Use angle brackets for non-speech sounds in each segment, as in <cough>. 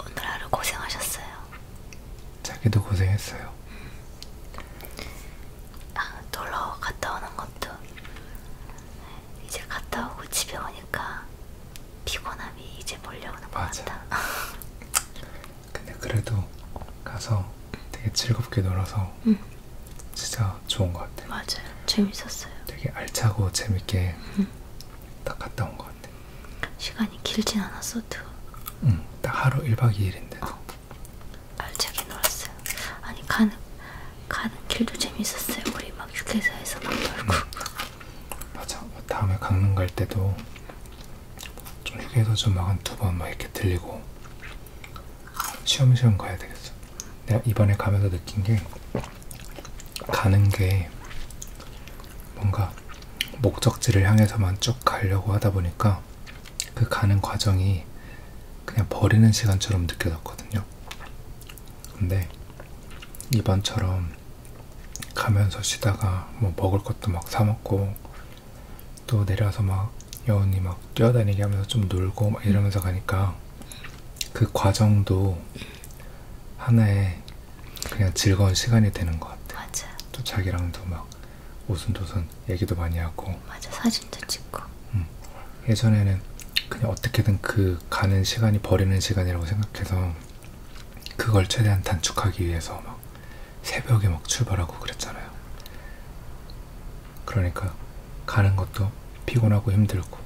오늘 하루 고생하셨어요. 자기도 고생했어요. 음. 아, 놀러 갔다 오는 것도 이제 갔다 오고 집에 오니까 피곤함이 이제 몰려오는 것 같다. <laughs> 근데 그래도 가서 되게 즐겁게 놀아서 응. 음. 진짜 좋은 것 같아요. 맞아요. 재밌었어요. 되게 알차고 재밌게 응. 음. 딱 갔다 온 것 같아. 시간이 길진 않았어도. 응, 딱 하루 1박 2일인데. 어, 알차게 놀았어요. 아니 가는 가는 길도 재밌었어요. 우리 막 휴게소에서 막 놀고. 응. 맞아. 다음에 강릉 갈 때도 좀 휴게소 좀막한두번 막 이렇게 들리고 쉬엄쉬엄 가야 되겠어. 내가 이번에 가면서 느낀 게 가는 게 뭔가 목적지를 향해서만 쭉 가려고 하다 보니까 그 가는 과정이 그냥 버리는 시간처럼 느껴졌거든요. 근데 이번처럼 가면서 쉬다가 뭐 먹을 것도 막 사먹고 또 내려와서 막 여운이 막 뛰어다니게 하면서 좀 놀고 막 이러면서 가니까 그 과정도 하나의 그냥 즐거운 시간이 되는 것 같아. 맞아. 또 자기랑도 막 오순도순 얘기도 많이 하고. 맞아. 사진도 찍고. 응. 음. 예전에는 그냥 어떻게든 그 가는 시간이 버리는 시간이라고 생각해서 그걸 최대한 단축하기 위해서 막 새벽에 막 출발하고 그랬잖아요. 그러니까 가는 것도 피곤하고 힘들고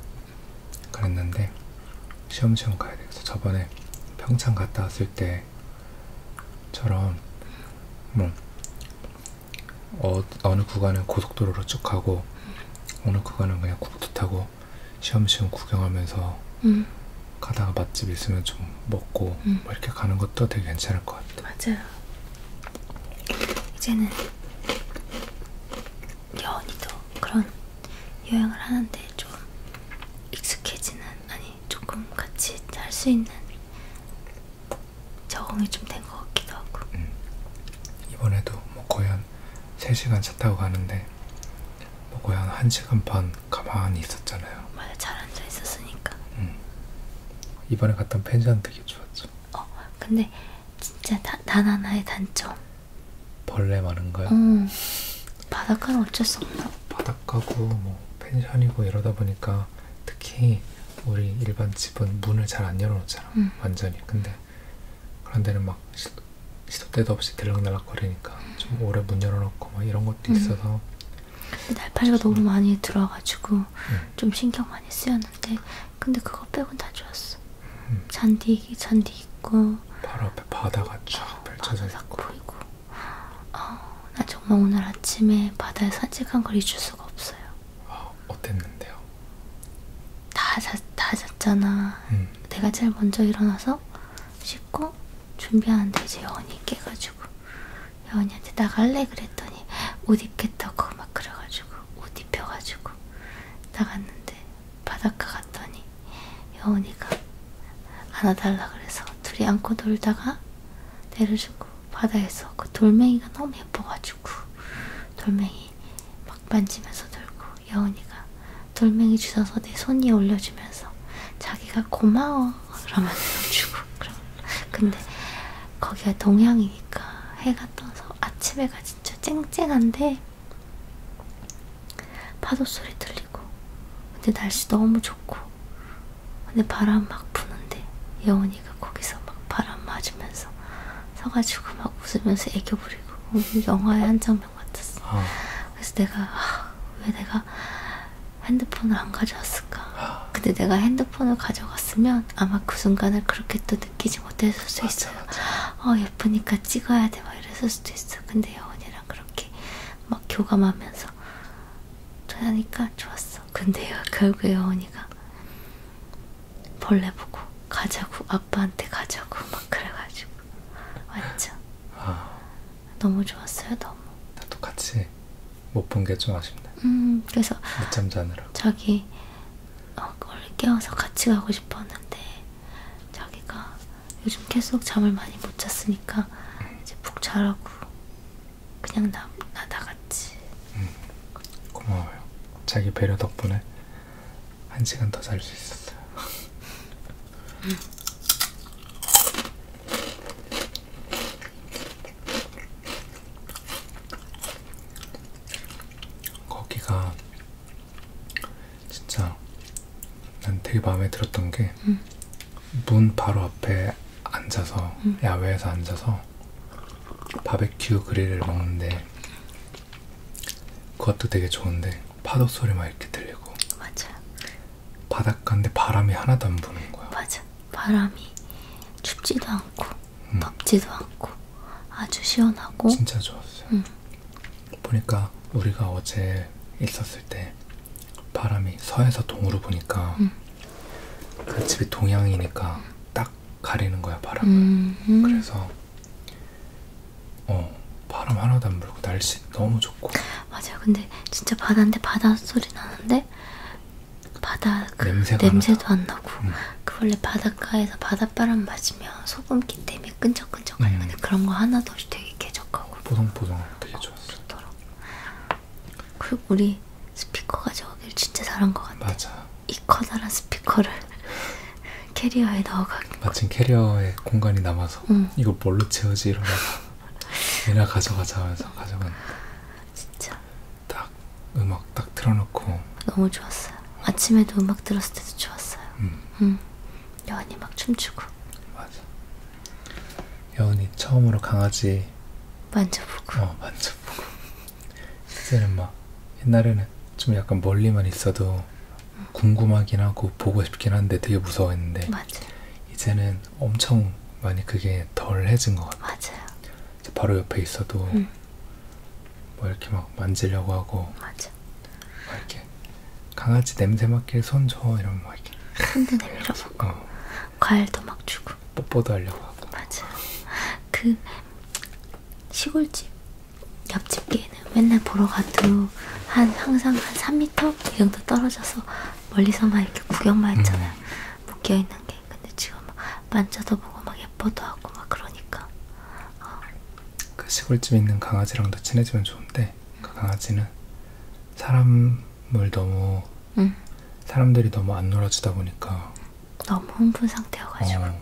그랬는데 시험시험 가야 돼서 저번에 평창 갔다 왔을 때처럼 뭐 어, 어느 구간은 고속도로로 쭉 가고 어느 구간은 그냥 국도 타고 시험시험 구경하면서 음. 가다가 맛집 있으면 좀 먹고 음. 뭐 이렇게 가는 것도 되게 괜찮을 것 같아요. 맞아요. 이제는 여원이도 그런 여행을 하는데 좀 익숙해지는 아니 조금 같이 할 수 있는 적응이 좀 된 것 같기도 하고 음. 이번에도 뭐 거의 한 3시간 차 타고 가는데 뭐 거의 한 1시간 반 가만히 있었잖아요 맞아 잘 앉아 있었으니까 음. 이번에 갔던 펜션 되게 좋았죠 어 근데 진짜 다, 단 하나의 단점. 벌레 많은가요? 응. 바닷가는 어쩔 수 없나? 바닷가고 뭐 펜션이고 이러다 보니까 특히 우리 일반 집은 문을 잘 안 열어놓잖아. 응. 완전히. 근데 그런 데는 막 시, 시도 때도 없이 들락날락 거리니까 좀 오래 문 열어놓고 막 이런 것도 있어서. 응. 근데 날파리가 너무 많이 들어와가지고 응. 좀 신경 많이 쓰였는데 근데 그거 빼곤 다 좋았어. 음. 잔디 잔디 있고 바로 앞에 바다가 쫙 어, 펼쳐져 있고. 보이고. 어, 나 정말 오늘 아침에 바다에 산책한 걸 잊을 수가 없어요. 어, 어땠는데요? 다, 자, 다 잤잖아. 음. 내가 제일 먼저 일어나서 씻고 준비하는데 이제 여원이 깨가지고 여원이한테 나갈래 그랬더니 옷 입겠다고 막 그래가지고 옷 입혀가지고 나갔는데 바닷가 갔더니 여운이가 안아달라 그래서 둘이 안고 놀다가 내려주고 바다에서 그 돌멩이가 너무 예뻐가지고 돌멩이 막 만지면서 놀고 여운이가 돌멩이 주셔서 내 손 위에 올려주면서 자기가 고마워 그러면서 주고 그럼 근데 거기가 동양이니까 해가 떠서 아침에가 진짜 쨍쨍한데 파도 소리 들리고 근데 날씨 너무 좋고 근데 바람 막 부는데 예원이가 거기서 막 바람 맞으면서 서가지고 막 웃으면서 애교 부리고 영화의 한 장면 같았어. 어. 그래서 내가 아, 왜 내가 핸드폰을 안 가져왔을까? 아. 근데 내가 핸드폰을 가져갔으면 있었다면 아마 그 순간을 그렇게 또 느끼지 못했을 수도 맞아, 있어요. 맞아. 어 예쁘니까 찍어야 돼막 이랬을 수도 있어. 근데 여원이랑 그렇게 막 교감하면서 하니까 좋았어. 근데 결국 여원이가 벌레 보고 가자고 아빠한테 가자고 막 그래가지고 완전 아. 너무 좋았어요 너무. 나도 같이 못 본 게 좀 아쉽네. 음 그래서 늦잠 자느라. 자기 어, 그걸 깨워서 같이 가고 싶었는데 자기가 요즘 계속 잠을 많이 못 잤으니까 이제 푹 자라고 그냥 나, 나 나갔지. 음, 고마워요. 자기 배려 덕분에 한 시간 더 잘 수 있었어요. 음. 거기가 진짜 난 되게 마음에 들었던 게 음. 문 음. 바로 앞에 앉아서 음. 야외에서 앉아서 바베큐 그릴을 먹는데 그것도 되게 좋은데 파도 소리 막 이렇게 들리고 맞아 바닷가인데 바람이 하나도 안 부는 거야 맞아 바람이 춥지도 않고 음. 덥지도 않고 아주 시원하고 진짜 좋았어요. 음. 보니까 우리가 어제 있었을 때 바람이 서에서 동으로 보니까 음. 그 집이 동양이니까 음. 딱 가리는 거야 바람을. 음, 음. 그래서 어 바람 하나도 안 불고 날씨 너무 좋고. 맞아요. 근데 진짜 바다인데 바다 소리 나는데 바다 그 냄새도 나다. 안 나고 음. 그 원래 바닷가에서 바닷바람 맞으면 소금기 때문에 끈적끈적한 건데 네. 음. 그런 거 하나도 없이 되게 쾌적하고 보송보송 되게 어, 좋더라. 그리고 우리 스피커 가져가길 진짜 잘한 것 같아. 맞아. 이 커다란 스피커를 <laughs> 캐리어에 넣어가는 마침 거. 캐리어에 공간이 남아서 음. 이거 뭘로 채우지 이러면서 얘나 <laughs> 가져가자 하면서 가져갔는데 진짜. 딱 음악 딱 틀어놓고. 너무 좋았어요. 아침에도 음악 들었을 때도 좋았어요. 음. 음. 여운이 막 춤추고. 맞아. 여운이 처음으로 강아지. 만져보고. 어, 만져보고. 이제는 막 옛날에는 좀 약간 멀리만 있어도 음. 궁금하긴 하고 보고 싶긴 한데 되게 무서워했는데. 맞아. 이제는 엄청 많이 그게 덜해진 것 같아. 맞아요. 바로 옆에 있어도 응. 음. 뭐 이렇게 막 만지려고 하고 맞아. 막 이렇게 강아지 냄새 맡길 손줘 이러면 막 이렇게 손도 내밀어보고 <laughs> 어. 과일도 막 주고 뽀뽀도 하려고 하고 맞아. 그 시골집 옆집 개는 맨날 보러 가도 한 항상 한 3m 이 정도 떨어져서 멀리서만 이렇게 구경만 했잖아요. 음. 묶여 있는 게 근데 지금 만져도 보고 막 예뻐도 하고 막 그러니까 어. 그 시골집에 있는 강아지랑도 친해지면 좋은데 그 강아지는 사람을 너무 응. 사람들이 너무 안 놀아주다 보니까 너무 흥분 상태여가지고 어,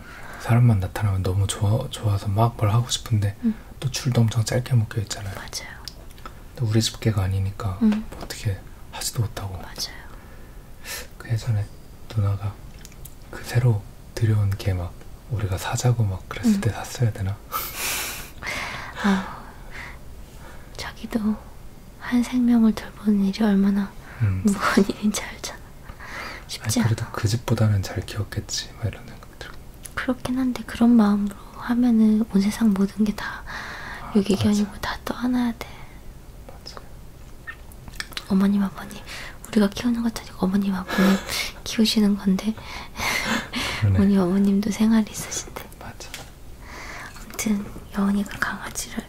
사람만 나타나면 너무 좋아, 좋아서 막 뭘 하고 싶은데 응. 또 줄도 엄청 짧게 묶여 있잖아요 맞아요 근데 우리 집개가 아니니까 응. 뭐 어떻게 하지도 못하고 맞아요 그 예전에 누나가 그 새로 들여온 게 막 우리가 사자고 막 그랬을 음. 때 샀어야 되나? 아, 자기도 한 생명을 돌보는 일이 얼마나 음. 무거운 일인지 알잖아. 쉽지 아니, 그래도 않아. 그 집보다는 잘 키웠겠지, 막 뭐 이런 생각들. 그렇긴 한데 그런 마음으로 하면은 온 세상 모든 게다 아, 유기견이고 다 떠안아야 돼. 맞아요. 어머님 아버님 우리가 키우는 것도 아니고 어머님 아버님 <laughs> 키우시는 건데 우리 어머님도 생활이 있으신데 맞아. 아무튼 여원이가 강아지를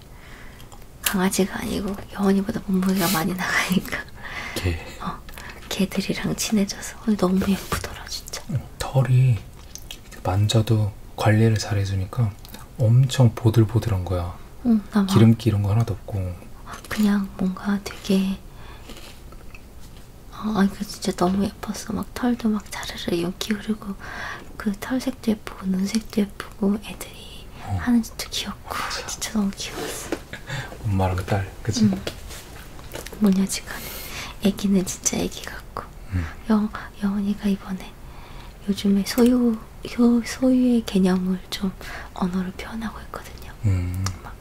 강아지가 아니고 여원이보다 몸무게가 많이 나가니까 개. 어, 개들이랑 친해져서 너무 예쁘더라 진짜. 응, 털이 만져도 관리를 잘 해주니까 엄청 보들보들한 거야. 응, 기름기 이런 거 하나도 없고. 그냥 뭔가 되게 어, 아 이거 진짜 너무 예뻤어. 막 털도 막 자르르 연기 흐르고 그 털색도 예쁘고 눈색도 예쁘고 애들이 어. 하는 짓도 귀엽고 맞아. 진짜 너무 귀여웠어. 엄마랑 그 딸, 그치? 응. 뭐냐 지금 애기는 진짜 애기 같고 응. 영, 영원이가 이번에 요즘에 소유, 소유의 개념을 좀 언어로 표현하고 있거든요. 음. 막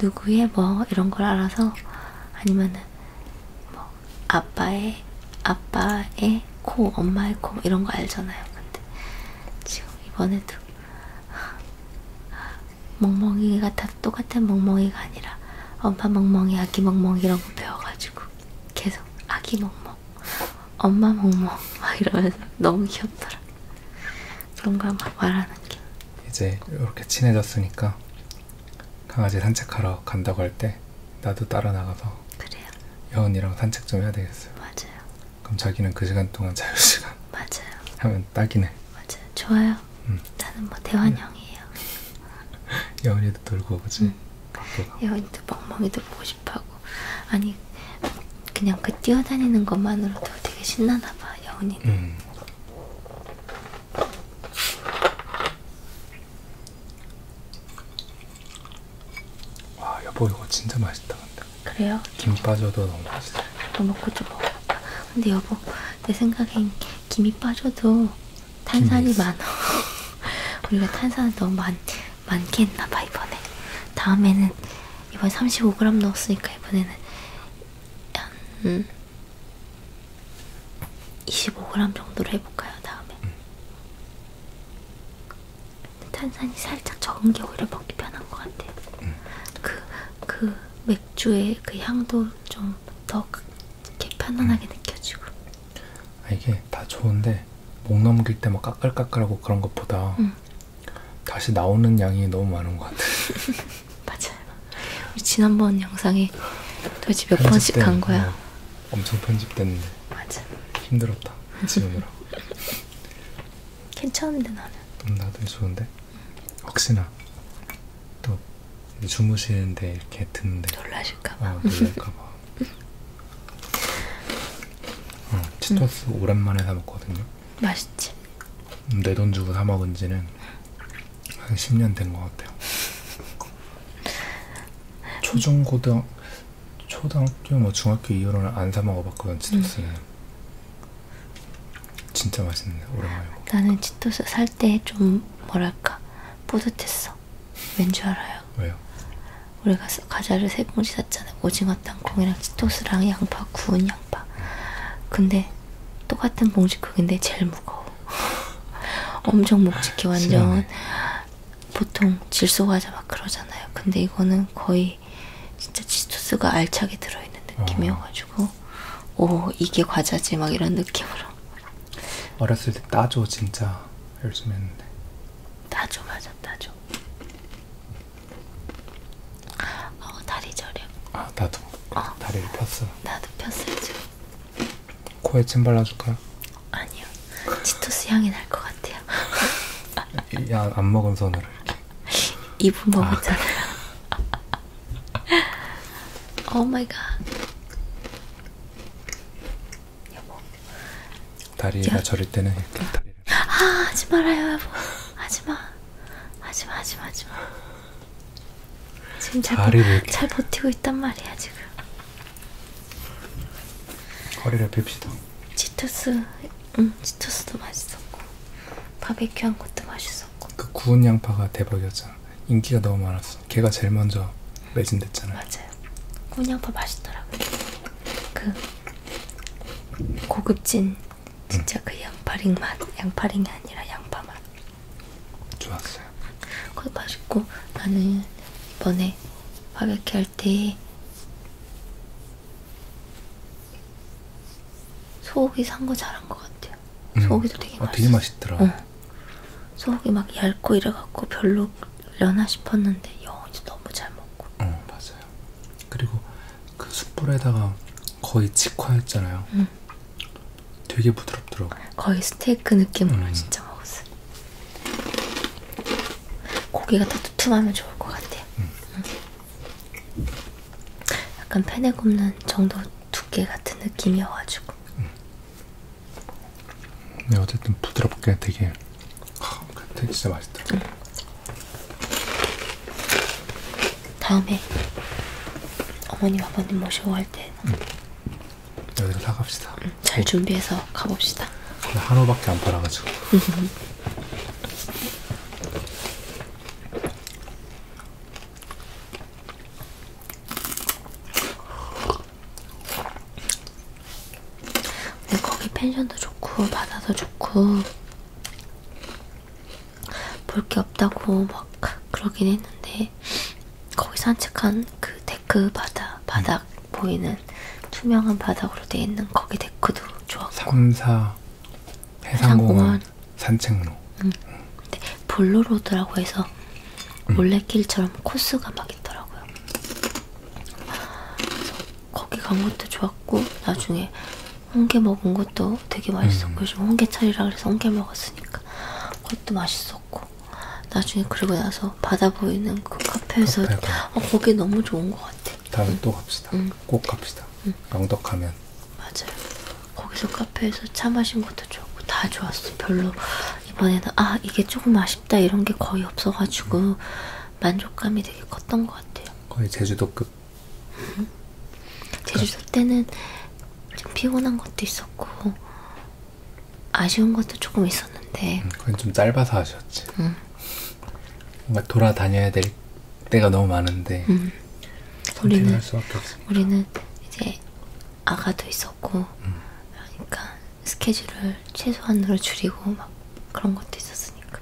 누구의 뭐 이런 걸 알아서 아니면은 뭐 아빠의 아빠의 코, 엄마의 코 뭐 이런 거 알잖아요. 근데 지금 이번에도 멍멍이가 다 똑같은 멍멍이가 아니라 엄마 멍멍이, 아기 멍멍이 이런 거 배워가지고 계속 아기 멍멍, 엄마 멍멍 막 이러면서 너무 귀엽더라. 그런 거막 말하는 게. 이제 이렇게 친해졌으니까 강아지 산책하러 간다고 할 때 나도 따라 나가서 그래요. 여운이랑 산책 좀 해야 되겠어요. 맞아요. 그럼 자기는 그 시간 동안 자유 시간. 맞아요. 하면 딱이네. 맞아요. 좋아요. 음. 나는 뭐 대환영이에요. <laughs> 여운이 멍멍이도 돌고 그지? 응. 여인도 멍멍이도 보고 싶어하고 아니 그냥 그 뛰어다니는 것만으로도 되게 신나나봐 여운이는 응. 음. 와 아, 여보 뭐 이거 진짜 맛있다 근데 그래요? 김 빠져도 너무 맛있어 이거 먹고 좀 먹어봐 근데 여보 내 생각엔 김이 빠져도 탄산이 많아. <laughs> 우리가 탄산을 너무 많, 많게 했나봐, 이번에. 다음에는, 이번에 35g 넣었으니까, 이번에는, 한, 음, 25g 정도로 해볼까요, 다음에? 음. 탄산이 살짝 적은 게 오히려 먹기 편한 것 같아요. 음. 그, 그 맥주의 그 향도 좀더 이렇게 편안하게 느껴지고 아, 이게 다 좋은데 목 넘길 때막 까끌까끌하고 그런 것보다 응. 다시 나오는 양이 너무 많은 것 같아. <laughs> 맞아요. 우리 지난번 영상이 도대체 몇 번씩 간 거야? 어, 엄청 편집됐는데. 맞아. 힘들었다. 지우느라. <laughs> 괜찮은데 나는. 음, 나도 좋은데. 혹시나 또 주무시는데 이렇게 듣는데 놀라실까봐 어, 놀랄까봐 어, 치토스 음. 오랜만에 사 먹거든요 맛있지? 음, 내돈 주고 사 먹은 지는 한 10년 된 것 같아요 초중고등 초등학교 뭐 중학교 이후로는 안 사 먹어봤거든 치토스는 음. 진짜 맛있네 오랜만에 먹 나는 치토스 살 때 좀 뭐랄까 뿌듯했어. 왠 줄 알아요? 왜요? 우리가 과자를 세 봉지 샀잖아요. 오징어 땅콩이랑 치토스랑 양파, 구운 양파. 근데 똑같은 봉지 크기인데 제일 무거워. <laughs> 엄청 묵직해 완전. 보통 질소 과자 막 그러잖아요. 근데 이거는 거의 진짜 치토스가 알차게 들어있는 느낌이어가지고 어. 오 이게 과자지 막 이런 느낌으로 어렸을 때 따줘 진짜 열심히 했는데. 따줘 맞아 따줘. 어 다리 저렴. 아 나도. 어. 다리를 폈어. 나도 폈어요 지금. 코에 침 발라줄까요? 아니요. 치토스 향이 날 것 같아요. 야, 안 먹은 손으로 이렇게. <laughs> 입은 먹었잖아요. 아. <laughs> oh my god. 여보. 다리가 여... 저릴 때는 이렇게 다리를. 아, 하지 말아요, 여보. 하지 마. 하지 마, 하지 마, 하지 마. 지금 잘, 다리를 잘 버티고 있단 말이야, 지금. 허리를 빕시다. 치토스, 응, 치토스도 맛있었고 바베큐한 것도 맛있었고. 그 구운 양파가 대박이었잖아. 인기가 너무 많았어. 걔가 제일 먼저 매진됐잖아요. 맞아요. 꾸냥파 맛있더라고요. 그 고급진 진짜 응. 음. 그 양파링 맛, 양파링이 아니라 양파 맛. 좋았어요. 그거 맛있고 나는 이번에 바베큐 할 때 소고기 산 거 잘한 것 같아. 같아요. 음. 소고기도 되게 맛있어. 아, 되게 맛있더라. 어. 소고기 막 얇고 이래갖고 별로 려나 싶었는데 영원히 너무 잘 먹고. 어 맞아요. 그리고 그 숯불에다가 거의 직화했잖아요. 응. 되게 부드럽더라고. 거의 스테이크 느낌으로 응. 음. 진짜 먹었어요. 고기가 다 두툼하면 좋을 것 같아요. 음. 응. 응. 약간 펜에 굽는 정도 두께 같은 느낌이어가지고. 근데 네, 어쨌든 부드럽게 되게 하, 진짜 맛있다. 응. 음. 다음에 어머님 아버님 모시고 갈때 응. 음. 여기로 나갑시다. 응, 음, 잘 준비해서 가봅시다. 한우밖에 안 팔아가지고. <laughs> 근데 네, 거기 펜션도 좋고 바다도 좋고 볼 게 없다고 막 그러긴 했는데 거기 산책한 그 데크 바다 바닥 보이는 투명한 바닥으로 돼 있는 거기 데크도 좋았고 삼사 해상공원 응. 산책로. 응. 음. 근데 볼로로드라고 해서 음. 몰래길처럼 응. 코스가 막 있더라고요. 그래서 거기 간 것도 좋았고 나중에 홍게 먹은 것도 되게 맛있었고 음. 요즘 홍게철이라 그래서 홍게 먹었으니까 그것도 맛있었고 나중에 그리고 나서 바다 보이는 그 카페에서 카페가. 어, 거기 너무 좋은 것 같아. 다음에 응. 또 갑시다. 응. 꼭 갑시다. 응. 영덕하면. 맞아요. 거기서 카페에서 차 마신 것도 좋고 다 좋았어. 별로 이번에는 아 이게 조금 아쉽다 이런 게 거의 없어가지고 만족감이 되게 컸던 것 같아요. 거의 제주도급. 음. 제주도 때는 좀 피곤한 것도 있었고 아쉬운 것도 조금 있었는데. 음, 그건 좀 짧아서 아쉬웠지. 음. 뭔가 돌아다녀야 될 선택 때가 너무 많은데 음. 우리는 우리는 이제 아가도 있었고 음. 그러니까 스케줄을 최소한으로 줄이고 막 그런 것도 있었으니까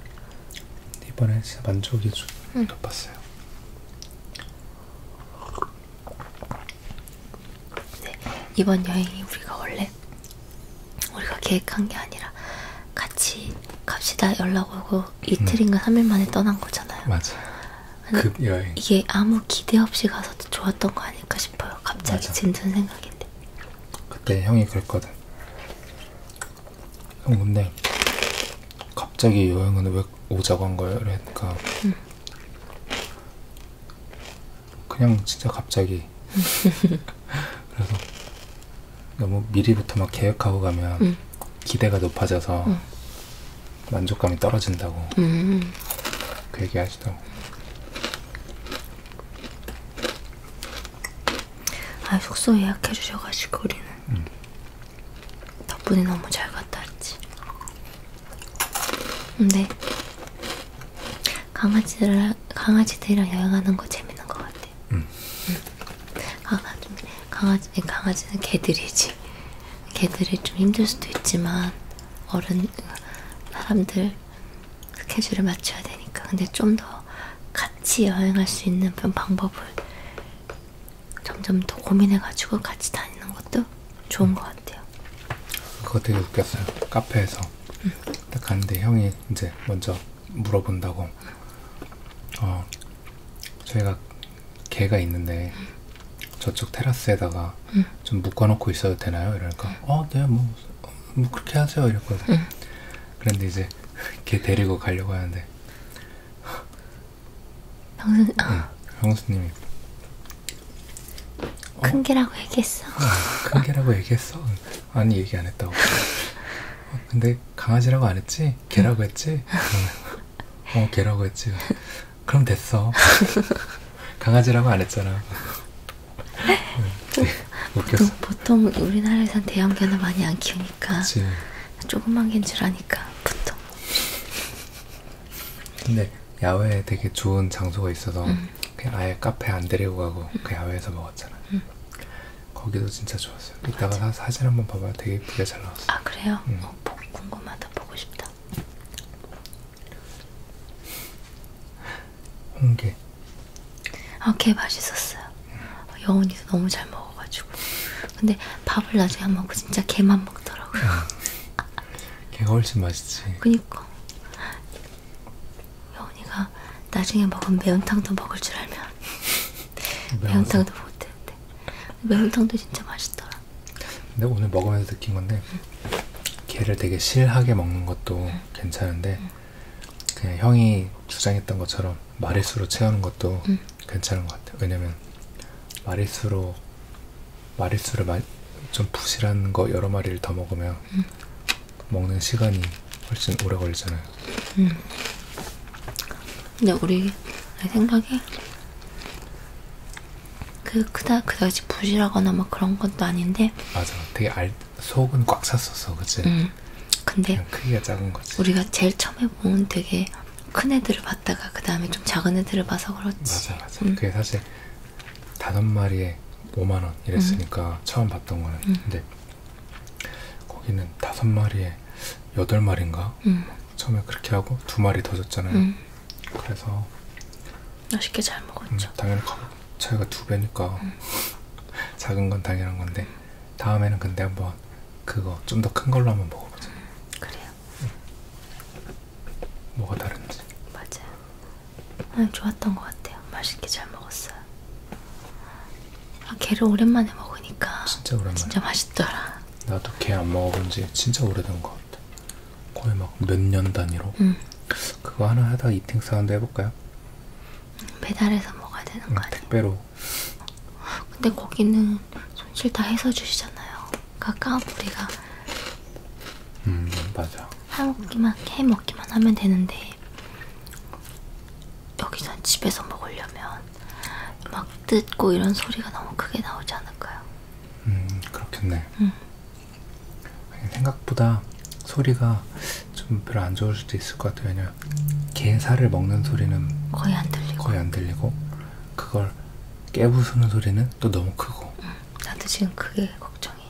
이번에 진짜 만족이 좀 음. 높았어요. 네, 이번 여행이 우리가 원래 우리가 계획한 게 아니라 같이 갑시다 연락 오고 이틀인가 음. 3일 만에 떠난 거잖아요. 맞아요. 급여행. 이게 아무 기대 없이 가서 좋았던 거 아닐까 싶어요. 갑자기 든 생각인데. 그때 형이 그랬거든. 형 근데 갑자기 여행은 왜 오자고 한 거예요? 그러니까 음. 그냥 진짜 갑자기 <laughs> 그래서 너무 미리부터 막 계획하고 가면 음. 기대가 높아져서 음. 만족감이 떨어진다고 음. 그 얘기 하시더라고. 아 숙소 예약해 주셔가지고 우리는 음. 덕분에 너무 잘 갔다 왔지. 근데 강아지들 강아지들이랑 여행하는 거 재밌는 것 같아. 음. 음. 음. 강아지, 강아지, 강아지는 개들이지. 개들이 좀 힘들 수도 있지만 어른 사람들 스케줄을 맞춰야 되니까. 근데 좀 더 같이 여행할 수 있는 방법을 점점 더 고민해가지고 같이 다니는 것도 좋은 음. 것 같아요. 그거 되게 웃겼어요. 카페에서 음. 딱 갔는데 형이 이제 먼저 물어본다고. 어 저희가 개가 있는데 저쪽 테라스에다가 응. 좀 묶어놓고 있어도 되나요? 이러니까 어, 네, 뭐, 뭐 그렇게 하세요 이랬거든. 응. 그런데 이제 걔 데리고 가려고 하는데 형수, 응, 아. 형수님이 어? 큰 어? 개라고 얘기했어. 큰 개라고 얘기했어. 아니 얘기 안 했다고. 어, 근데 강아지라고 안 했지? 개라고 했지? 어, 어, 개라고 했지. 그럼 됐어. 강아지라고 안 했잖아. 보통, 네, 보통 우리나라에선 대형견을 많이 안 키우니까 그치. 조그만 개인 줄 아니까 보통 근데 야외에 되게 좋은 장소가 있어서 음. 그냥 아예 카페 안 데리고 가고 음. 그 야외에서 먹었잖아 음. 거기도 진짜 좋았어요. 이따가 맞아. 사진 한번 봐봐요. 되게 예쁘게 잘 나왔어요. 아 그래요? 응. 음. 어, 보고 궁금하다. 보고 싶다. 홍게. 아걔 맛있었어요. 응. 여운이도 너무 잘 먹어가지고. 근데 밥을 나중에 안 먹고 그 진짜 개만 먹더라고요. 음. 개가 훨씬 맛있지. 그니까. 여운이가 나중에 먹은 매운탕도 먹을 줄 알면 매운탕도 못했는데 매운탕도 진짜 맛있더라. 근데 오늘 먹으면서 느낀 건데 걔를 되게 실하게 먹는 것도 응. 괜찮은데 응. 그냥 형이 주장했던 것처럼 마릿수로 채우는 것도 응. 괜찮은 것 같아요. 왜냐면 마릿수로 마릿수를 마, 좀 부실한 거 여러 마리를 더 먹으면 먹는 시간이 훨씬 오래 걸리잖아요. 음. 근데 우리 내 생각에 그 그다 그다지 부실하거나 막 그런 것도 아닌데 맞아 되게 알 속은 꽉 찼었어 그치? 응 음. 근데 크기가 작은 거지 우리가 제일 처음에 본 되게 큰 애들을 봤다가 그 다음에 좀 작은 애들을 봐서 그렇지 맞아 맞아 응. 음. 그게 사실 다섯 마리에 5만원 이랬으니까 응. 음. 처음 봤던 거는 응. 근데 거기는 다섯 마리에 여덟 마리인가 음. 처음에 그렇게 하고 두 마리 더 줬잖아요. 음. 그래서 맛있게 잘 먹었죠. 음, 당연히 차이가 두 배니까 음. <laughs> 작은 건 당연한 건데 다음에는 근데 한번 그거 좀 더 큰 걸로 한번 먹어보자. 음, 그래요. 음. 뭐가 다른지. 맞아요. 아, 좋았던 것 같아요. 맛있게 잘 먹었어요. 아, 게를 오랜만에 먹으니까 진짜 오랜만에 진짜 맛있더라. 나도 게안 먹어본 지 진짜 오래된 것 같아. 거의 막 몇 년 단위로. 응. 그거 하나 하다 이팅 사운드 해볼까요? 배달해서 먹어야 되는 응, 거 아니야? 택배로. 근데 거기는 손질 다 해서 주시잖아요. 그러니까 까불이가 음 맞아. 해먹기만 해먹기만 하면 되는데 여기선 집에서 먹으려면 막 뜯고 이런 소리가 너무 크게 나오지 않을까요? 음 그렇겠네. 음. 생각보다 소리가 좀 별로 안 좋을 수도 있을 것 같아요. 왜냐면 개 살을 먹는 소리는 거의 안 들리고, 거의 안 들리고 그걸 깨부수는 소리는 또 너무 크고. 음, 나도 지금 그게 걱정이에요.